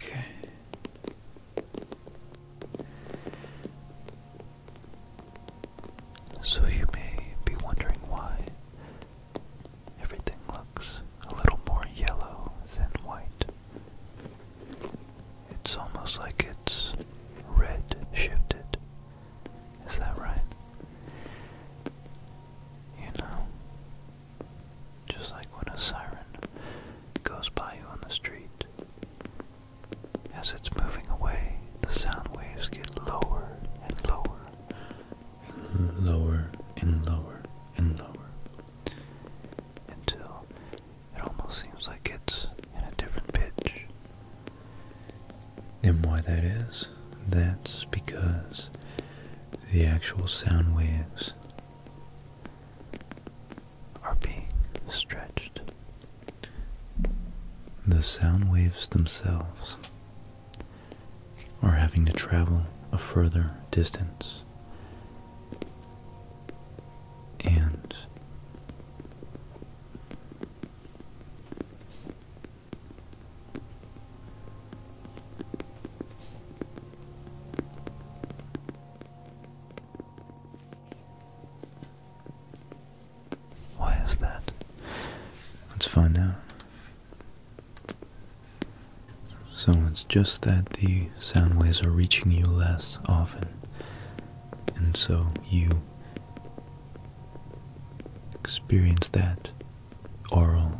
Okay. So you may be wondering why everything looks a little more yellow than white. It's almost like it's red shifted. Is that right? You know, just like when a siren goes by you on the street. As it's moving away, the sound waves get lower and lower. And lower and lower and lower. Until it almost seems like it's in a different pitch. And why that is, that's because the actual sound waves are being stretched. The sound waves themselves are having to travel a further distance. And why is that? Let's find out. So it's just that the sound waves are reaching you less often, and so you experience that oral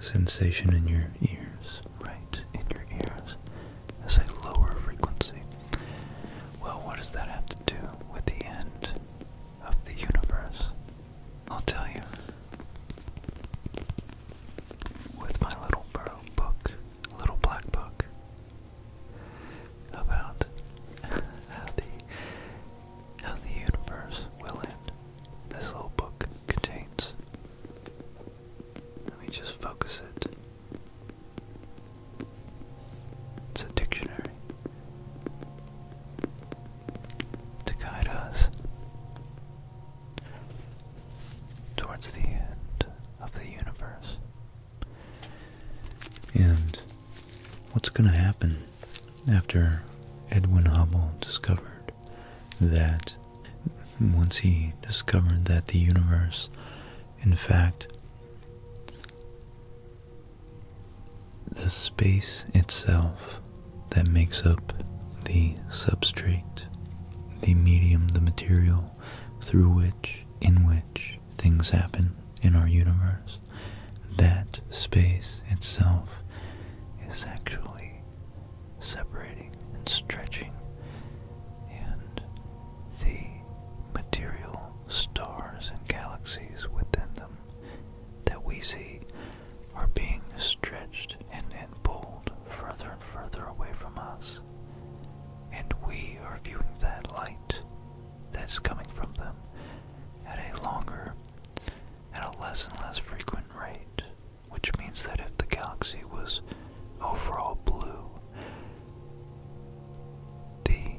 sensation in your ears, right in your ears, as a lower frequency. Well, what does that have to do with the end of the universe? I'll tell you. With my little book, little black book, about how the how the universe will end. This little book contains let me just focus it. It's a dictionary to guide us towards the end of the universe. And what's going to happen after Edwin Hubble discovered that once he discovered that the universe, in fact, the space itself that makes up the substrate, the medium, the material through which, in which things happen in our universe, that space itself is actually separating and stretching, and the material stars and galaxies within them that we see are being stretched and, and pulled further and further away from us. And we are viewing that light that's coming from them at a longer, at a less and less frequent rate which means that if the galaxy was overall blue, the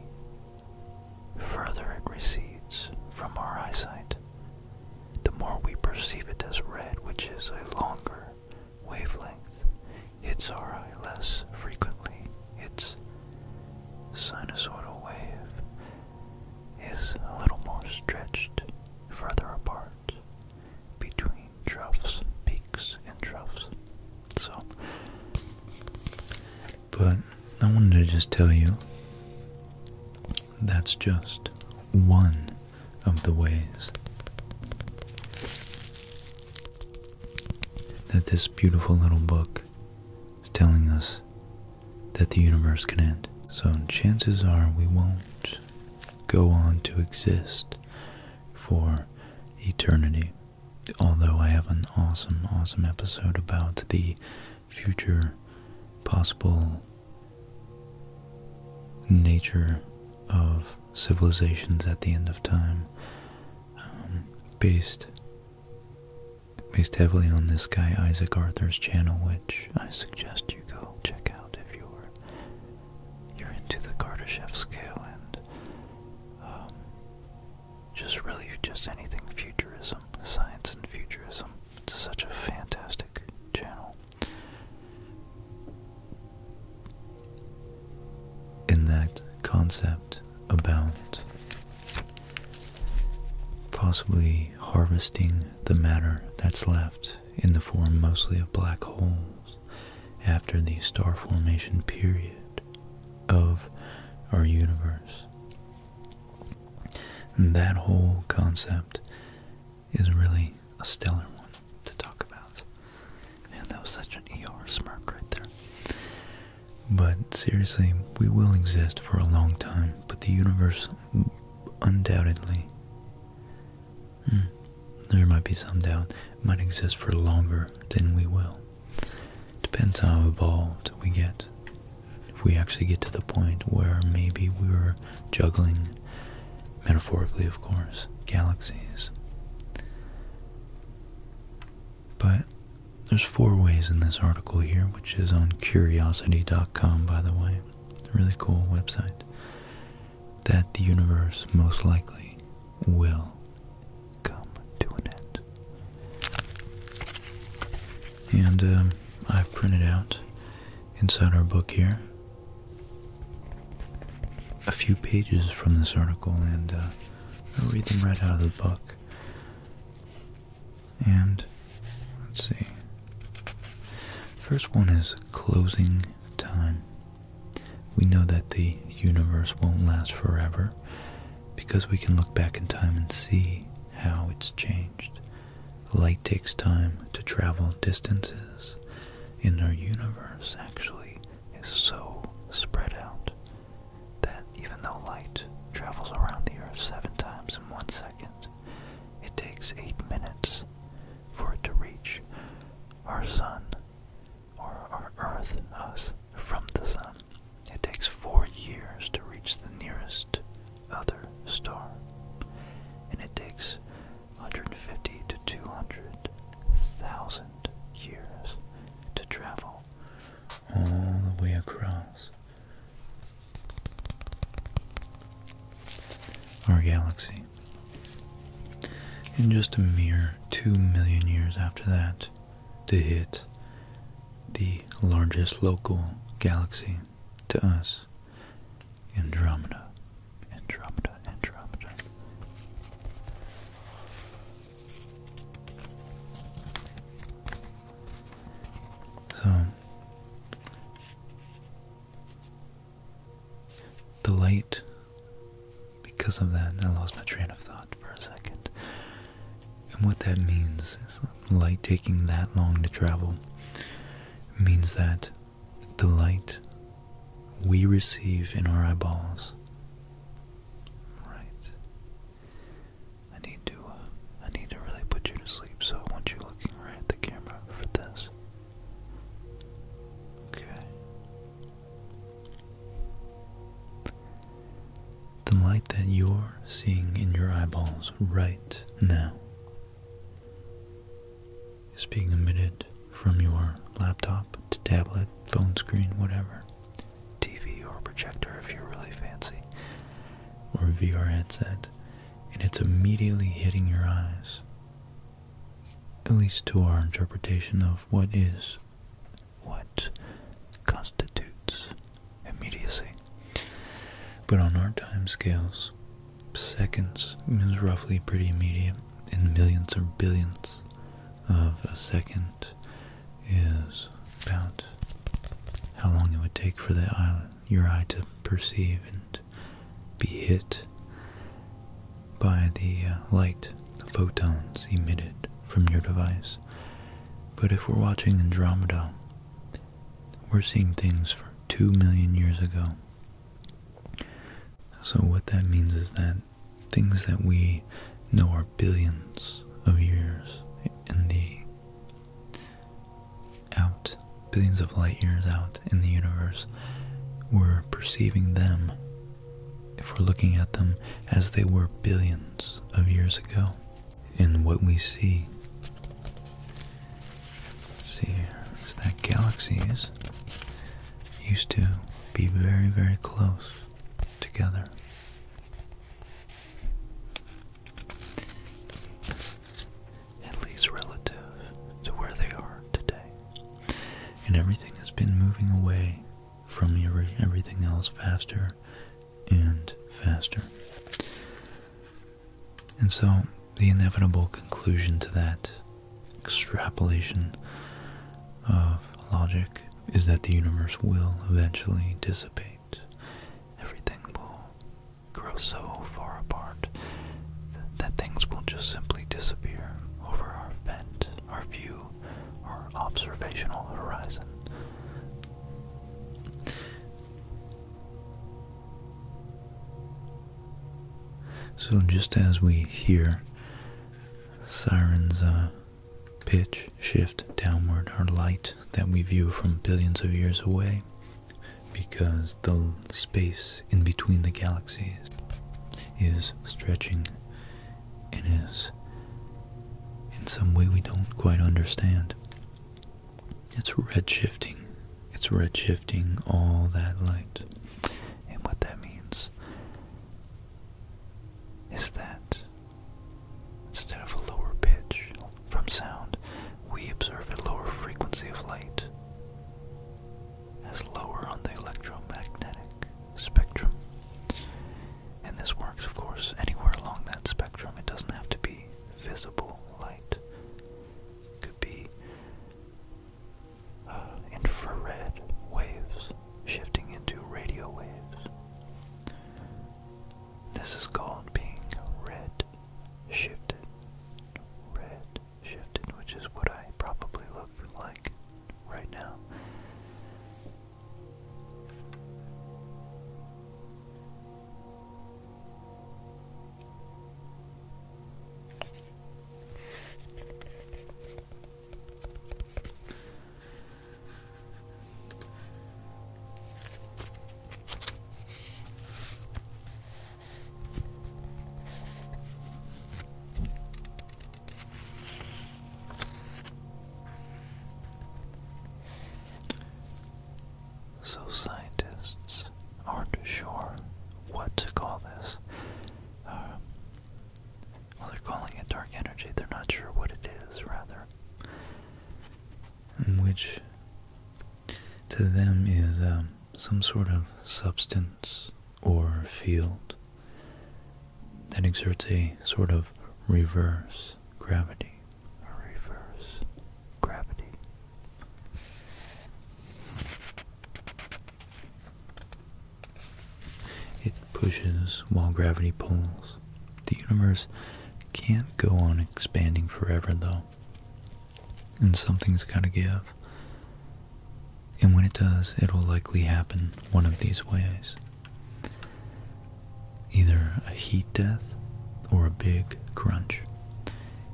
further it recedes from our eyesight, the more we perceive it as red, which is a longer wavelength, hits our eye less frequently. Its sinusoidal wave is a little more stretched further apart between troughs, peaks, and troughs. So, but I wanted to just tell you that's just one of the ways that this beautiful little book is telling us that the universe can end. So chances are we won't go on to exist for eternity. Although I have an awesome, awesome episode about the future possible nature of civilizations at the end of time, um, based based heavily on this guy Isaac Arthur's channel, which I suggest you go check out if you're you're into the Kardashev scale and um, just really just anything futurism, science and futurism. It's such a fantastic channel. In that concept about possibly harvesting the matter that's left in the form mostly of black holes after the star formation period of our universe. And that whole concept is really a stellar one to talk about. Man, that was such an ER smirk right there. But seriously, we will exist for a long time, but the universe undoubtedly Hmm. There might be some doubt, it might exist for longer than we will. Depends how evolved we get. If we actually get to the point where maybe we are juggling, metaphorically of course, galaxies. But there's four ways in this article here, which is on curiosity.com by the way. Really cool website that the universe most likely will come to an end. And um, I've printed out inside our book here a few pages from this article, and uh, I'll read them right out of the book. And let's see. First one is closing time. We know that the universe won't last forever because we can look back in time and see how it's changed. Light takes time to travel distances, and our universe actually is so spread out that even though light travels around the Earth seven times in one second, it takes eight minutes for it to reach our sun, or our earth, us, from the sun. It takes four years to reach the nearest other star, and it takes 150 to 200,000 years to travel all the way across our galaxy. In just a mere 2 million years after that, to hit the largest local galaxy to us, Andromeda. Andromeda, Andromeda. So, the light, because of that, I lost my train of thought for a second. And what that means is light taking that long to travel means that the light we receive in our eyeballs. Right. I need to. Uh, I need to really put you to sleep. So I want you looking right at the camera for this. Okay. The light that you're seeing in your eyeballs right now is being emitted from your laptop, tablet, phone screen, whatever, TV or projector if you are really fancy, or VR headset, and it's immediately hitting your eyes at least to our interpretation of what is, what constitutes immediacy. But on our time scales, seconds is roughly pretty immediate, and millions or billions of a second is about how long it would take for the eye, your eye to perceive and be hit by the uh, light the photons emitted from your device. But if we're watching Andromeda, we're seeing things from 2 million years ago. So what that means is that things that we know are billions of years in the out, billions of light years out, in the universe, we're perceiving them, if we're looking at them, as they were billions of years ago. In what we see, Let's see that galaxies used to be very, very close together. At least relative to where they are today and everything has been moving away from everything else faster and faster. And so, the inevitable conclusion to that extrapolation of logic is that the universe will eventually dissipate. Everything will grow so far apart that things will just simply disappear over our vent, our view, our observational horizon. So, just as we hear sirens uh, pitch shift downward, our light that we view from billions of years away, because the space in between the galaxies is stretching and is in some way we don't quite understand. It's red shifting. It's red shifting all that light. And what that means is that instead of a lower pitch from sound, we observe a lower frequency of light as lower on the electromagnetic spectrum. And this works, of course, anywhere along that spectrum. It doesn't have to be visible light. could be uh, infrared waves shifting into radio waves. This is called being red shifted. Red shifted, which is what I probably look like right now. So scientists aren't sure what to call this. Uh, well, they're calling it dark energy. They're not sure what it is, rather. Which to them is um, some sort of substance or field that exerts a sort of reverse gravity. Reverse gravity. It pushes while gravity pulls. The universe can't go on expanding forever, though, and something's got to give. And when it does, it will likely happen one of these ways either a heat death or a big crunch.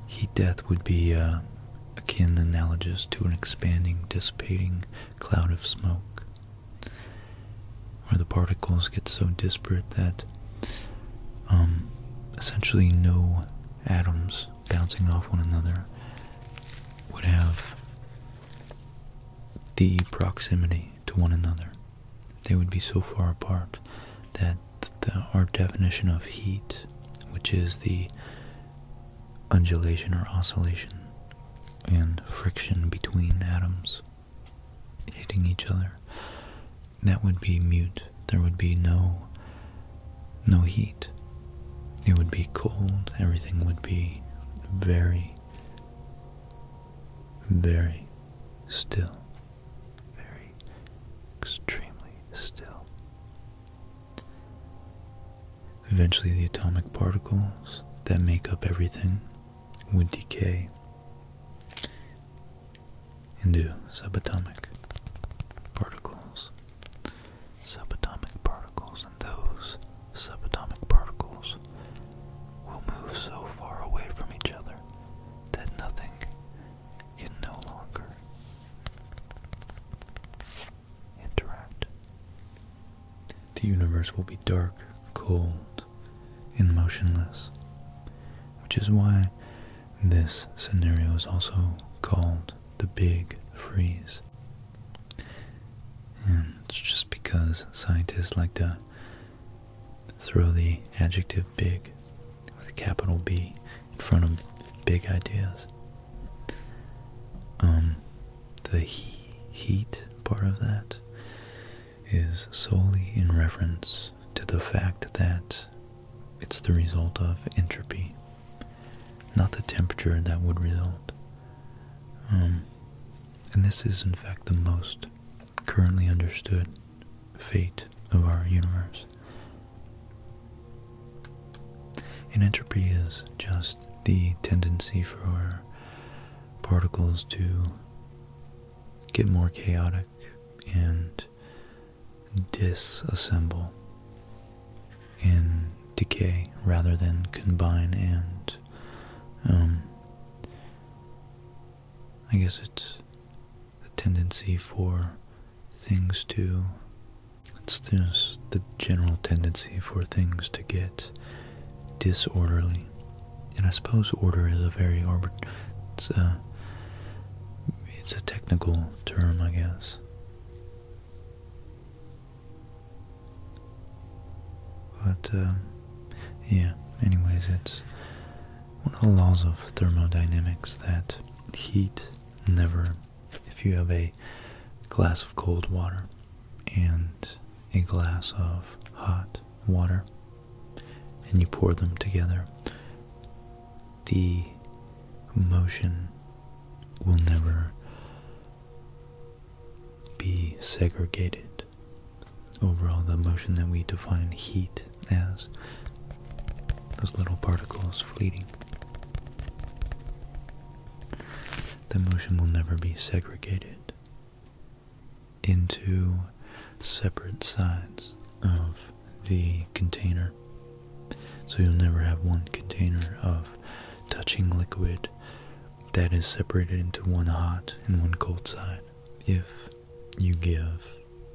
Heat death would be uh, akin analogous to an expanding, dissipating cloud of smoke, where the particles get so disparate that um, essentially no atoms bouncing off one another would have the proximity to one another. They would be so far apart that our definition of heat, which is the undulation or oscillation and friction between atoms hitting each other, that would be mute. There would be no no heat. It would be cold, everything would be very, very still, very extremely still. Eventually, the atomic particles that make up everything would decay into subatomic particles subatomic particles, and those subatomic particles will move so far away from each other that nothing can no longer interact. The universe will be dark, cold, and motionless, which is why this scenario is also called the Big Freeze it's just because scientists like to throw the adjective big with a capital B in front of big ideas. Um, the heat part of that is solely in reference to the fact that it's the result of entropy not the temperature that would result. Um, and this is, in fact, the most currently understood fate of our universe. And entropy is just the tendency for particles to get more chaotic and disassemble and decay rather than combine and um, I guess it's the tendency for things to it's just the general tendency for things to get disorderly and I suppose order is a very it's a, it's a technical term I guess but, uh, yeah, anyways, it's one of the laws of thermodynamics that heat never, if you have a glass of cold water and a glass of hot water and you pour them together, the motion will never be segregated. Overall, the motion that we define heat as those little particles fleeting. The motion will never be segregated into separate sides of the container. So you'll never have one container of touching liquid that is separated into one hot and one cold side if you give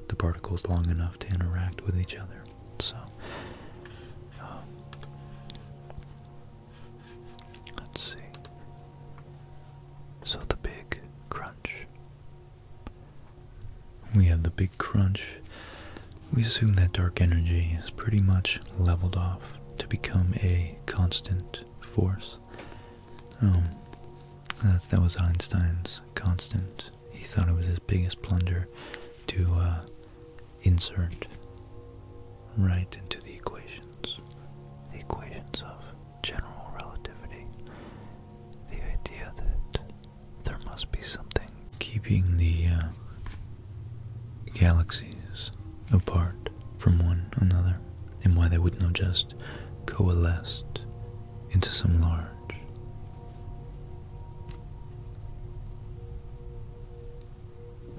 the particles long enough to interact with each other. So, um, let's see. So, the big crunch. We have the big crunch we assume that dark energy is pretty much leveled off to become a constant force. Um, that was Einstein's constant. He thought it was his biggest plunder to uh, insert right into the equations, the equations of general relativity, the idea that there must be something keeping the uh, galaxies apart from one another, and why they wouldn't have just coalesced into some large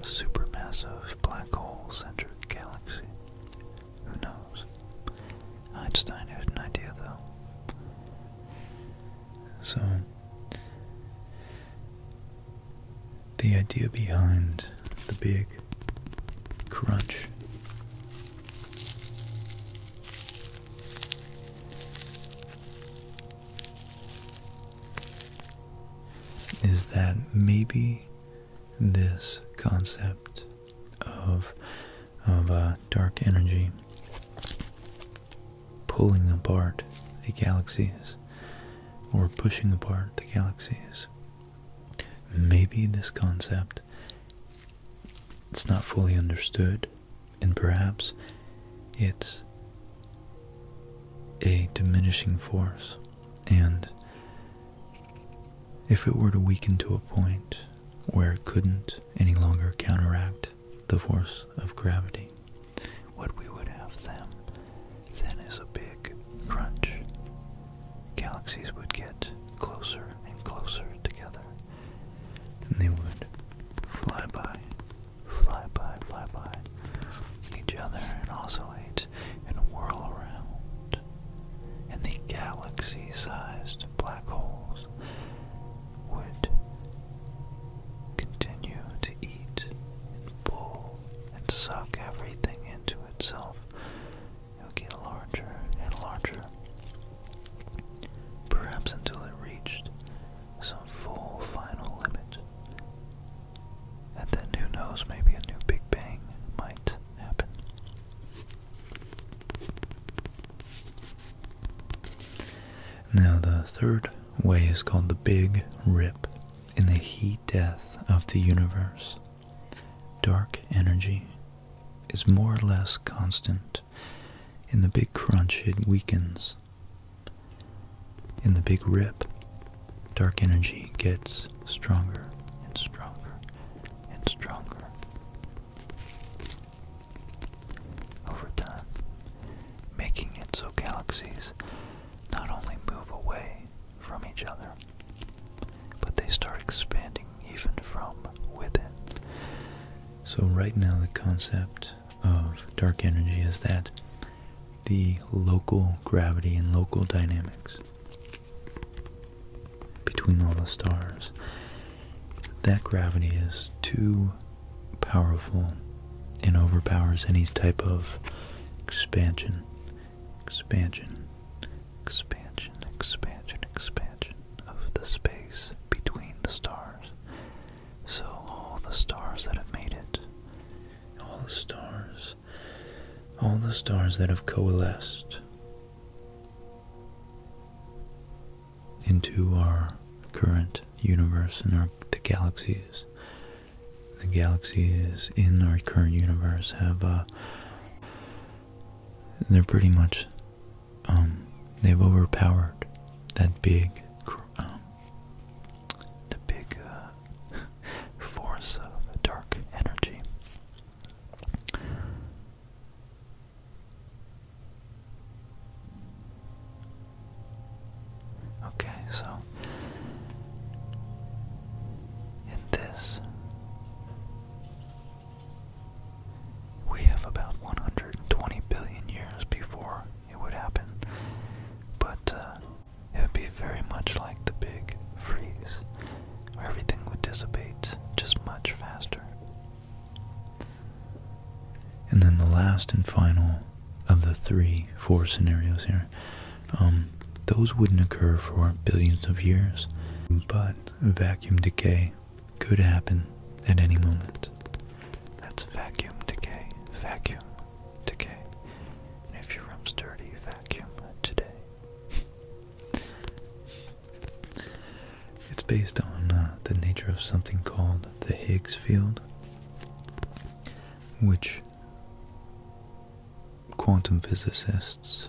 supermassive black hole centered galaxy. Who knows? Einstein had an idea though. So the idea behind the big crunch is that maybe this concept of of uh, dark energy pulling apart the galaxies or pushing apart the galaxies. Maybe this concept it's not fully understood and perhaps it's a diminishing force and if it were to weaken to a point where it couldn't any longer counteract the force of gravity what we would have then is a big crunch. Galaxies would get closer and closer together, and they would fly by, fly by, fly by each other and oscillate and whirl around. And the galaxy sized black holes would continue to eat pull and suck everything into itself. It'll get larger and larger, perhaps until it reached some full final limit. And then who knows, maybe a new Big Bang might happen. Now, the third way is called the Big Rip in the heat death of the universe, dark energy is more or less constant. In the big crunch, it weakens. In the big rip, dark energy gets stronger and stronger and stronger over time, making it so galaxies not only move away from each other, but they start expanding even from within. So, right now, the concept of dark energy is that the local gravity and local dynamics between all the stars, that gravity is too powerful and overpowers any type of expansion, expansion, expansion, expansion, expansion of the space between the stars. So all the stars that have made it, all the stars, all the stars that have coalesced into our current universe and our the galaxies the galaxies in our current universe have, uh, they're pretty much, um, they've overpowered that big, um, the big, uh, force of dark energy. Okay, so in this, we have about 120 billion years before it would happen, but uh, it would be very much like the big freeze, where everything would dissipate just much faster. And then the last and final of the three, four scenarios here, um, those wouldn't occur for billions of years, but vacuum decay could happen at any moment. That's vacuum decay, vacuum decay. And if your room's dirty, vacuum today. it's based on uh, the nature of something called the Higgs field, which quantum physicists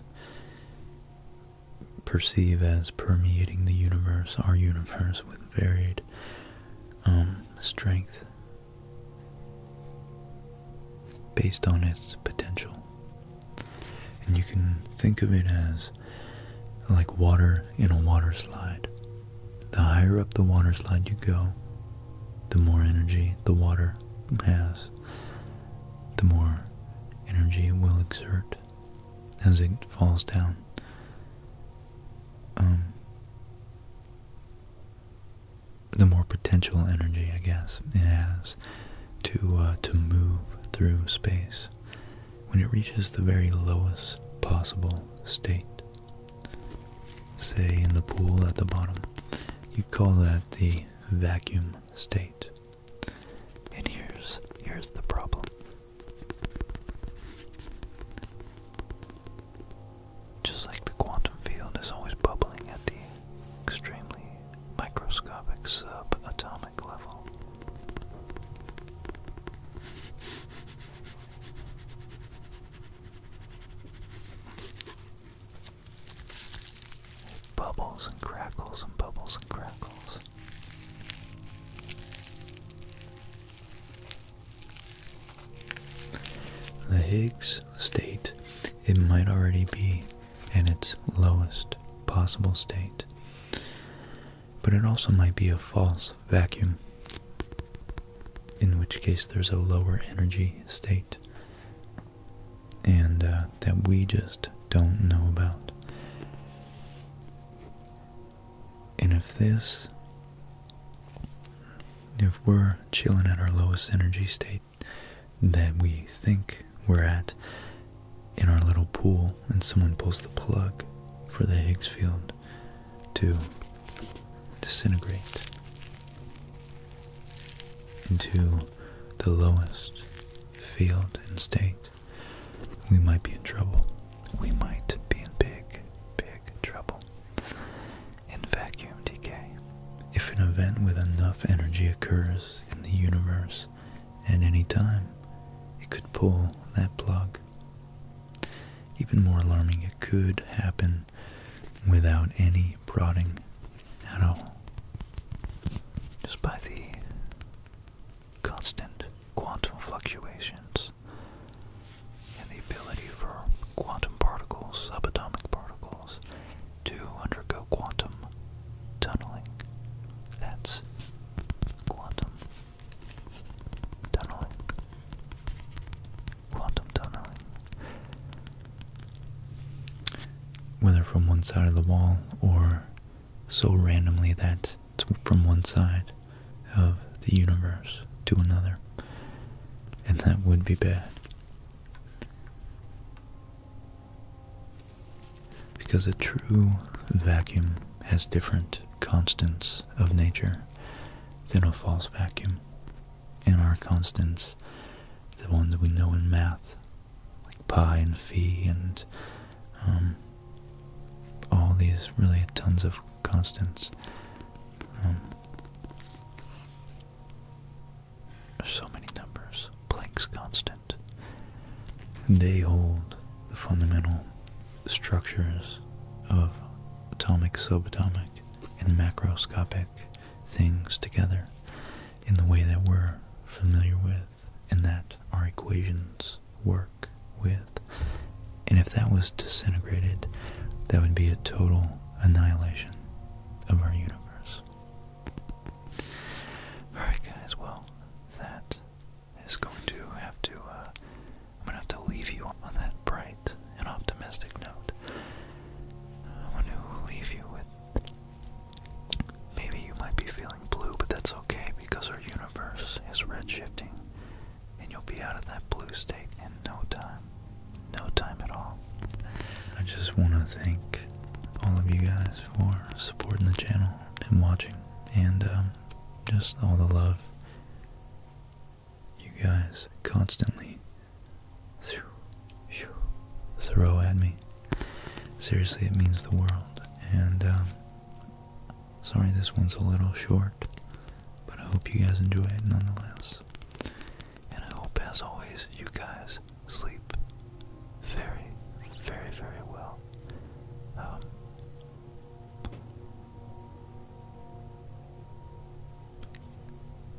perceive as permeating the universe, our universe, with varied um, strength based on its potential. And you can think of it as like water in a water slide. The higher up the water slide you go, the more energy the water has, the more energy it will exert as it falls down. Um, the more potential energy, I guess, it has to uh, to move through space when it reaches the very lowest possible state say in the pool at the bottom, you call that the vacuum state. And here's here's the problem. Just like the quantum field is always bubbling at the extremely microscopic subatomic level. Bubbles and crackles and bubbles and crackles. The Higgs state, it might already be in its lowest possible state, but it also might be a false vacuum in which case there's a lower energy state and uh, that we just don't know about. And if this, if we're chilling at our lowest energy state that we think we're at in our little pool and someone pulls the plug for the Higgs field to disintegrate into the lowest field and state, we might be in trouble. We might be in big, big trouble. In vacuum decay, if an event with enough energy occurs in the universe at any time, it could pull that plug even more alarming, it could happen without any prodding at all. Just by the constant quantum fluctuations and the ability for quantum particles, subatomic particles, to undergo quantum tunneling. That's quantum tunneling. Quantum tunneling. Whether from one side of the wall or so randomly that it's from one side of the universe to another. And that would be bad. Because a true vacuum has different constants of nature than a false vacuum and our constants, the ones we know in math, like pi and phi and um, all these really tons of constants. Um, there's so many numbers. Planck's constant. They hold the fundamental structures of atomic, subatomic, and macroscopic things together in the way that we're familiar with and that our equations work with. And if that was disintegrated, that would be a total annihilation of our universe. Alright guys, well, that is going to have to, uh, I'm going to have to leave you on that bright an optimistic note. I want to leave you with maybe you might be feeling blue, but that's okay because our universe is redshifting and you'll be out of that blue state in no time. No time at all. I just want to thank all of you guys for supporting the channel and watching and um, just all the love you guys constantly throw at me. Seriously, it means the world. And um, sorry, this one's a little short, but I hope you guys enjoy it nonetheless. And I hope, as always, you guys sleep very, very, very well. Um,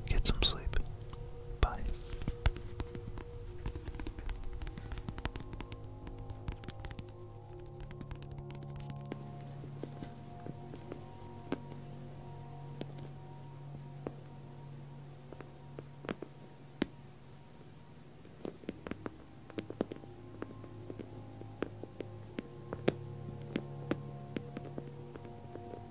Get some sleep. Bye.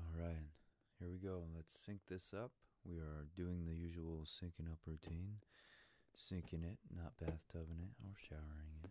All right, Here we go. Let's sync this up. We are doing the usual syncing up routine. Syncing it, not bathtubing it or showering it.